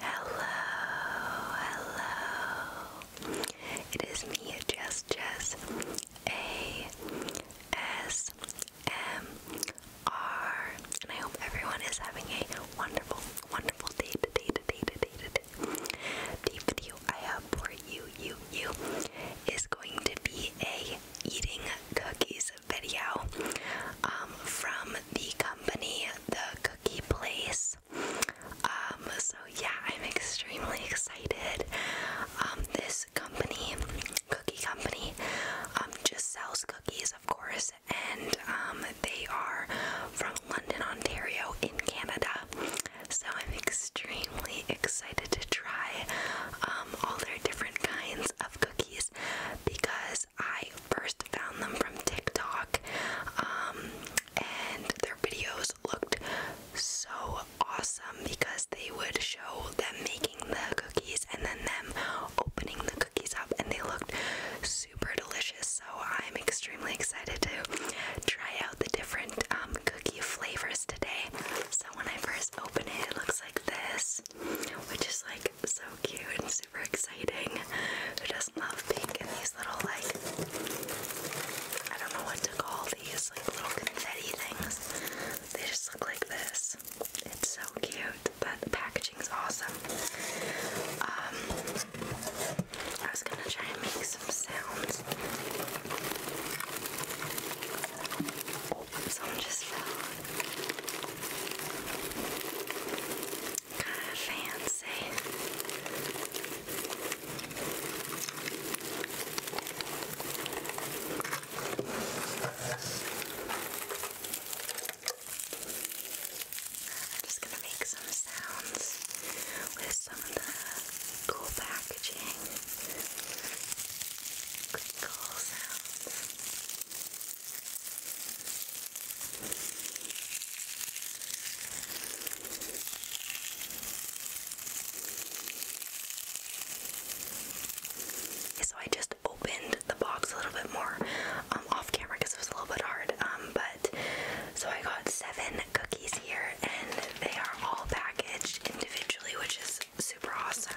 Hello, hello. It is me, Jess Jess. A S M R. And I hope everyone is having a wonderful, wonderful day today, today, today, today. The video I have for you, you, you is going to be a eating cookies video um, from the company The cookie place. Um, so yeah, I'm extremely excited. Um, this company, cookie company, um, just sells cookies, of course, and they are from London, Ontario, in Canada. So I'm extremely excited to try all their different kinds of cookies because I first found them from TikTok, um, and their videos looked so awesome because they would show them making the cookies and then them opening the cookies up, and they looked super delicious. So I'm extremely excited to try out the different um, cookie flavors today. So when I first open it, it looks like this, which is like so cute and super exciting. Who doesn't love pink and these little like I don't know what to call these like little confetti things. They just look like this. It's so cute, but the packaging's awesome. Um I was gonna try and make some sounds. Oh, just fell. Fancy. I'm just gonna make some sounds with some of the cool packaging. Cool sounds. So I just opened the box a little bit more um, off camera because it was a little bit hard. Um, but so I got seven cookies here, and they are all packaged individually, which is super awesome.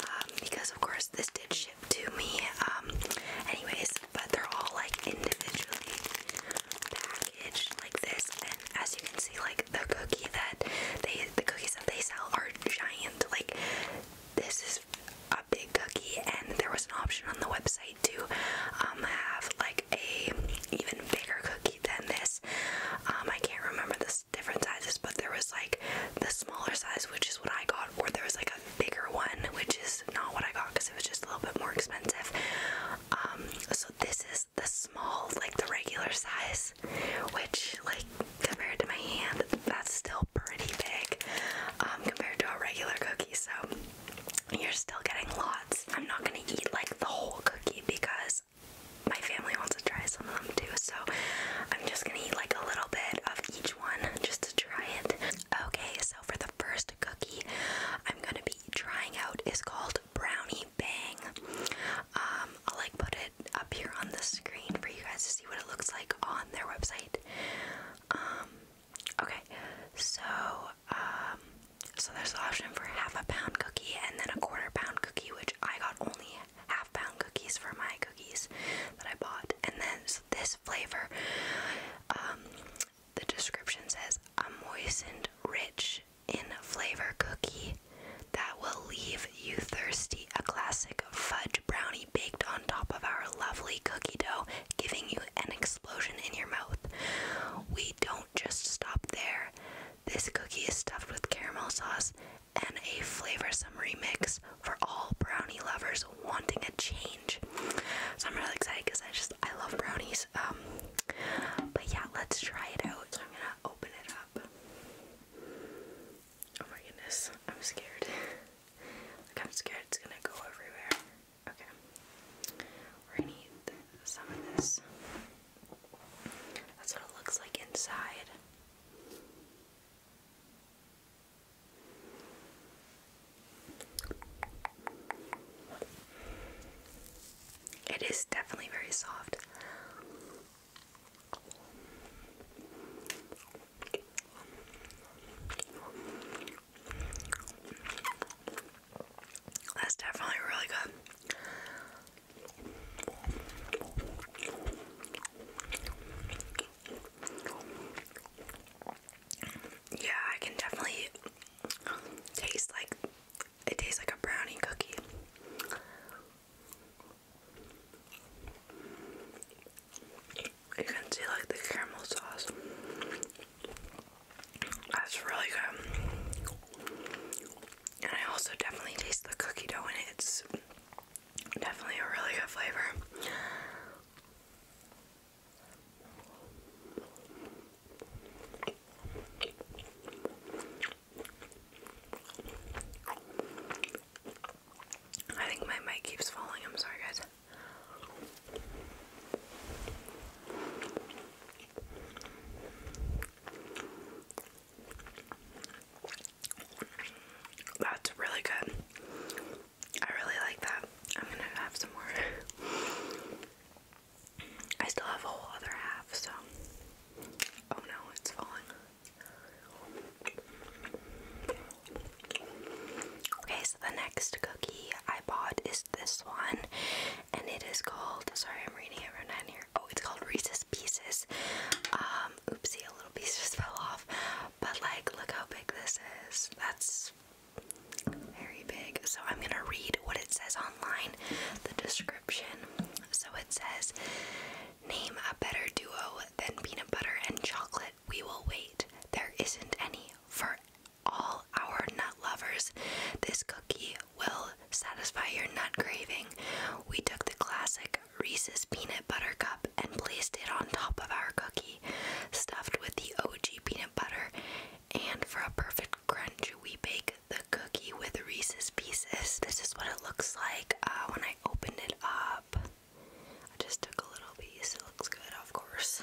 Um, because of course this did ship to me. Um, anyways, but they're all like individually packaged like this, and as you can see, like the cookie that they the cookies that they sell are giant. Like this is a big cookie, and there was an option on the website to um, have like a even bigger cookie than this. Um, I can't remember the different sizes, but there was like the smaller size, which is what I got, or there was like a bigger one, which is not what I got because it was just a little bit more expensive. Um, so this is the small, like the regular size, which like compared to my hand, that's still pretty big um, compared to a regular cookie. So you're still getting lots. I'm not gonna eat like the whole cookie because my family wants to try some of them too. So I'm just gonna eat like a little bit of each one, just try it. Okay, so for the first cookie I'm gonna be trying out is called Brownie Bang. Um, I'll like put it up here on the screen for you guys to see what it looks like on their website. Um, okay, so um, so there's the option for half a pound cookie and then a quarter pound cookie, which I got only half pound cookies for my cookies that I bought, and then this flavor. Um, the description says a moistened, rich in flavor cookie that will leave you thirsty. A classic fudge brownie baked on top of our lovely cookie dough, giving you an explosion in your mouth. We don't just stop there. This cookie is stuffed with caramel sauce and a flavorsome remix for all brownie lovers wanting a change. So I'm really excited because I just I love brownies. Um, but yeah, let's try it out. So I'm gonna open it up. Oh my goodness, I'm scared. I'm scared it's gonna go everywhere. Okay, we're gonna need some of this. That's what it looks like inside. It is definitely very soft. That's definitely really good. Yeah, I can definitely taste like it tastes like a brownie cookie. You can see like the caramel sauce. That's really good. And I also definitely taste the cookie dough in it. Definitely a really good flavor. I think my mic keeps falling. I'm sorry, guys. That's really good. I really like that. I'm gonna have some more. I still have a whole other half, so. Oh no, it's falling. Okay, so the next cookie I bought is this one, and it is called. Sorry, I'm reading it right here. Oh, it's called Reese's pieces. Um, oopsie, a little piece just fell off. But like, look how big this is. That's very big. So I'm gonna read what it says online, the description. So it says, Name a better duo than peanut butter and chocolate. We will wait. There isn't any for all our nut lovers. This cookie will satisfy your nut craving. We took the classic Reese's peanut butter cup and placed it on top of our cookie, stuffed with the OG peanut butter, and for a perfect crunch, we bake the cookie with Reese's pieces. This is what it looks like uh, when I opened it up. I just took a little piece, it looks good, of course.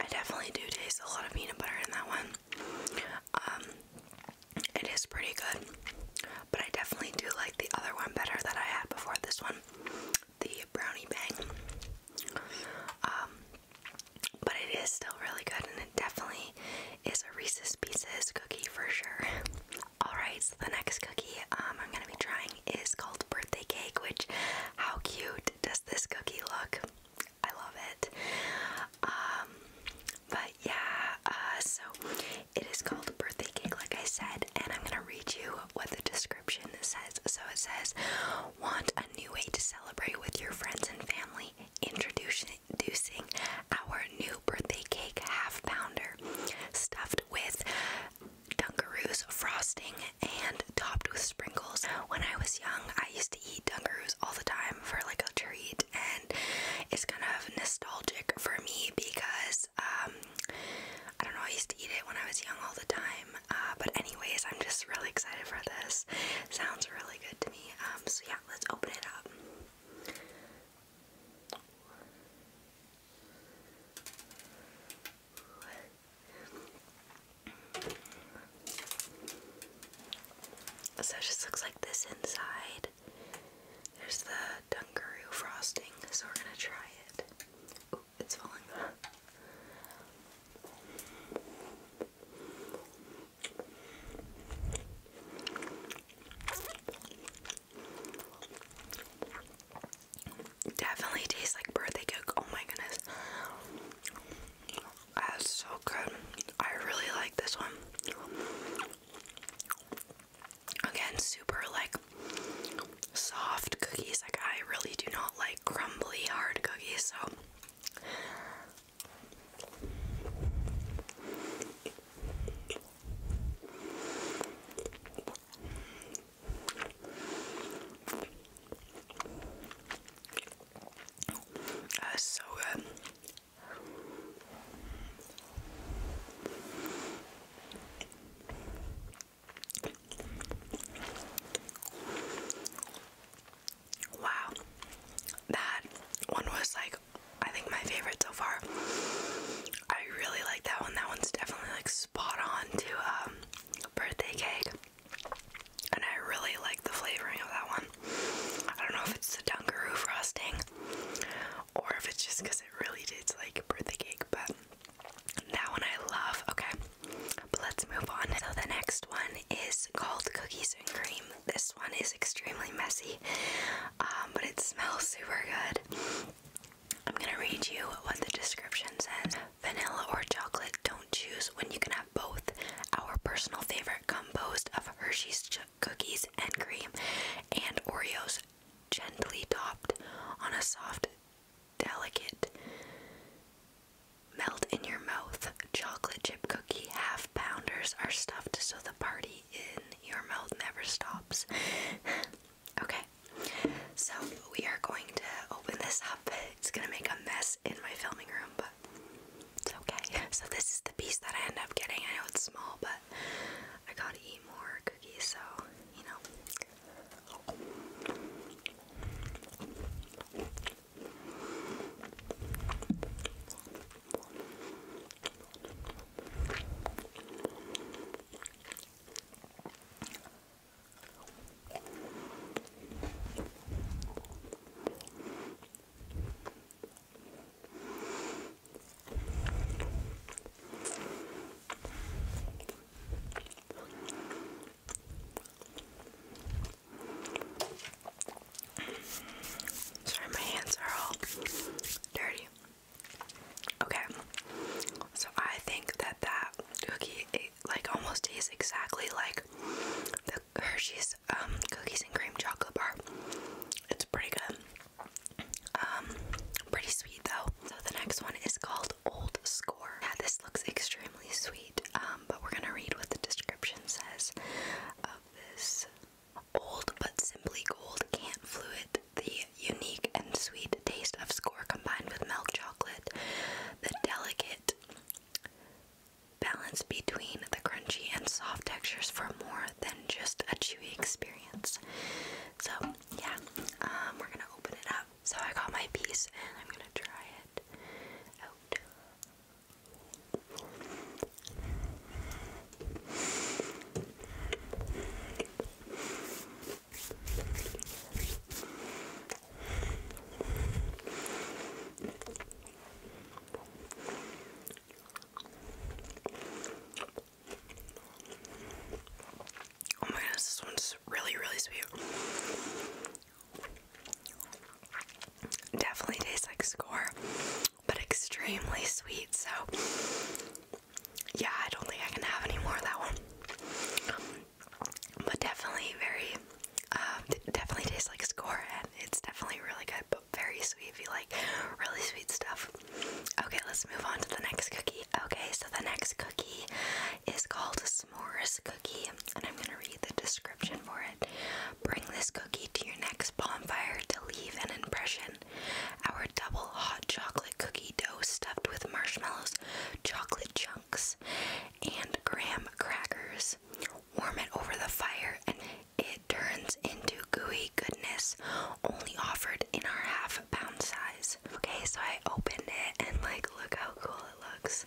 I definitely do taste a lot of peanut butter in that one. Um, it is pretty good, but I definitely do like the other one better that I had before this one, the brownie bang. Um, but it is still really good, and it definitely is a Reese's Pieces cookie for sure. Alright, so the next cookie um, I'm going to be trying is called Birthday Cake, which, how cute does this cookie look? I love it. Um, but yeah, uh, so it is called Birthday Cake, like I said, and I'm gonna read you what the description says. So it says, Want a new way to celebrate with your friends and family? Introducing our new birthday cake half pounder, stuffed with dunkaroos, frosting, and topped with sprinkles. When I was young, I used to eat Dunkaroos all the time for like a treat, and it's kind of nostalgic for me because um, I don't know, I used to eat it when I was young all the time. Uh, but, anyways, I'm just really excited for this. Sounds really good to me. Um, so, yeah, let's open it up. So it just looks like this inside. There's the Dunkaroo frosting, so we're gonna try it. Ooh, it's falling Definitely tastes like birthday cake. Oh my goodness. That's so good. I really like this one. Again, super like soft cookies. Like I really do not like crumbly hard cookies, so that's uh, so good. Um, wow. That one was like, I think my favorite so far. I really like that one. That one's definitely like spot on to a um, birthday cake and I really like the flavoring of that one. I don't know if it's the Dunkaroo frosting or if it's just because it really tastes like birthday cake, but that one I love. Okay, but let's move on. So the next one is called Cookies and Cream. This one is extremely messy, um, but it smells super good. I'm gonna read you what the description says vanilla or chocolate, don't choose when you can have both. Our personal favorite composed of Hershey's cookies and cream and Oreos, gently topped on a soft, delicate melt in your mouth chocolate chip cookie half pounders are stuffed so the party in your mouth never stops. okay, so we are going to open this it's gonna make a mess in my filming room, but it's okay. So this is the piece that I end up getting. I know it's small, but I gotta eat more cookies, so you know. Sorry, my hands are all dirty. Okay, so I think that that cookie like almost tastes exactly like the Hershey's um, cookies and cream chocolate bar. It's pretty good. Um, pretty sweet though. So the next one is called Old Score. Yeah, this looks extremely sweet. Um, but we're gonna read what the description says of this. Old but simply gold, can't fluid. The unique and sweet taste of score combined with milk chocolate, the delicate balance between the crunchy and soft textures for more than just a chewy experience. So, yeah, um, we're gonna open it up. So, I got my piece and I'm gonna try it out. Oh my goodness, this one's really, really sweet. Definitely tastes like score, but extremely sweet. So, yeah, I don't think I can have any more of that one but definitely very, um, definitely tastes like score, and it's definitely really good, but very sweet if you like really sweet stuff. Okay, let's move on to the next cookie. Okay, so the next cookie is called S'mores Cookie, and I'm gonna read the description for it. Bring this cookie to your next bonfire to leave an impression. Our double hot chocolate cookie dough stuffed with marshmallows, chocolate chunks and graham crackers. Warm it over the fire and it turns into gooey goodness, only offered in our half pound size. Okay, so I opened it and like look how cool it looks.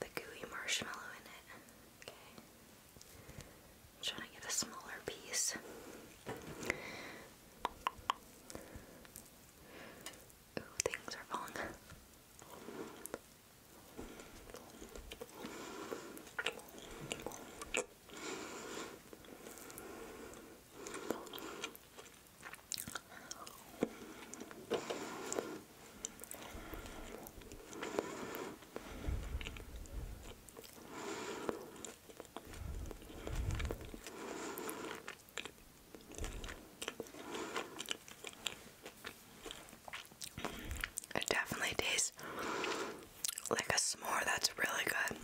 The gooey marshmallow in it. Okay. trying to get a smaller piece things are falling. It definitely tastes like a s'more. That's really good.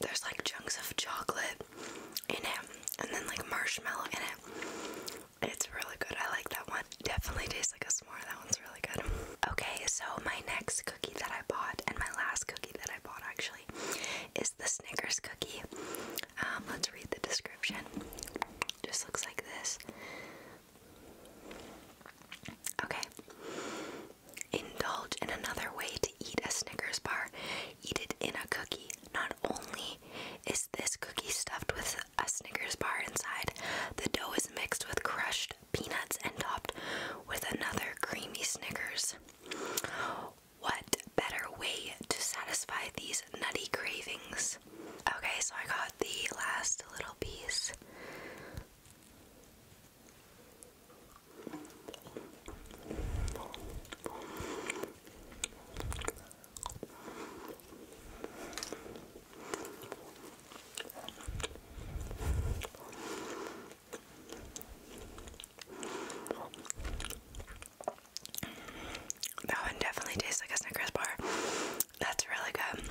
There's like chunks of chocolate in it and then like marshmallow in it. It's really good. I like that one. Definitely tastes like a s'more. That one's really good. Okay, so my next cookie that I bought and my last cookie that I bought actually is the Snickers cookie. Um, let's read the description. Just looks like this. Okay. Indulge in another way to eat a Snickers bar. Eat it in a cookie. Not only is this cookie stuffed with a Snickers bar inside, the dough is mixed with crushed peanuts and topped with another creamy Snickers what better way to satisfy these nutty cravings? Okay, so I got the last little piece. That one definitely tastes like a Snickers bar. That's really good.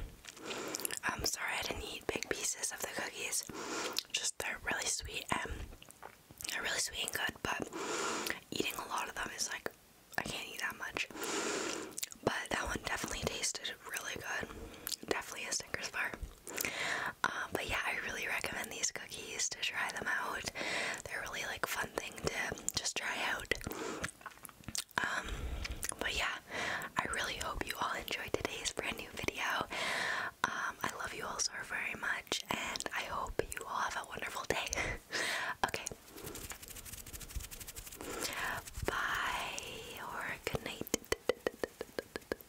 I'm sorry I didn't eat big pieces of the cookies. Just they're really sweet and they really sweet and good, but eating a lot of them is like I can't eat that much. But that one definitely tasted really good. Definitely a Snickers bar. Um, but yeah, I really recommend these cookies to try them out. They're really like fun thing to just try out. Um, but yeah, I really hope you all enjoyed today's brand new video. Um, I love you all so very much, and I hope you all have a wonderful day. okay. Bye or good night.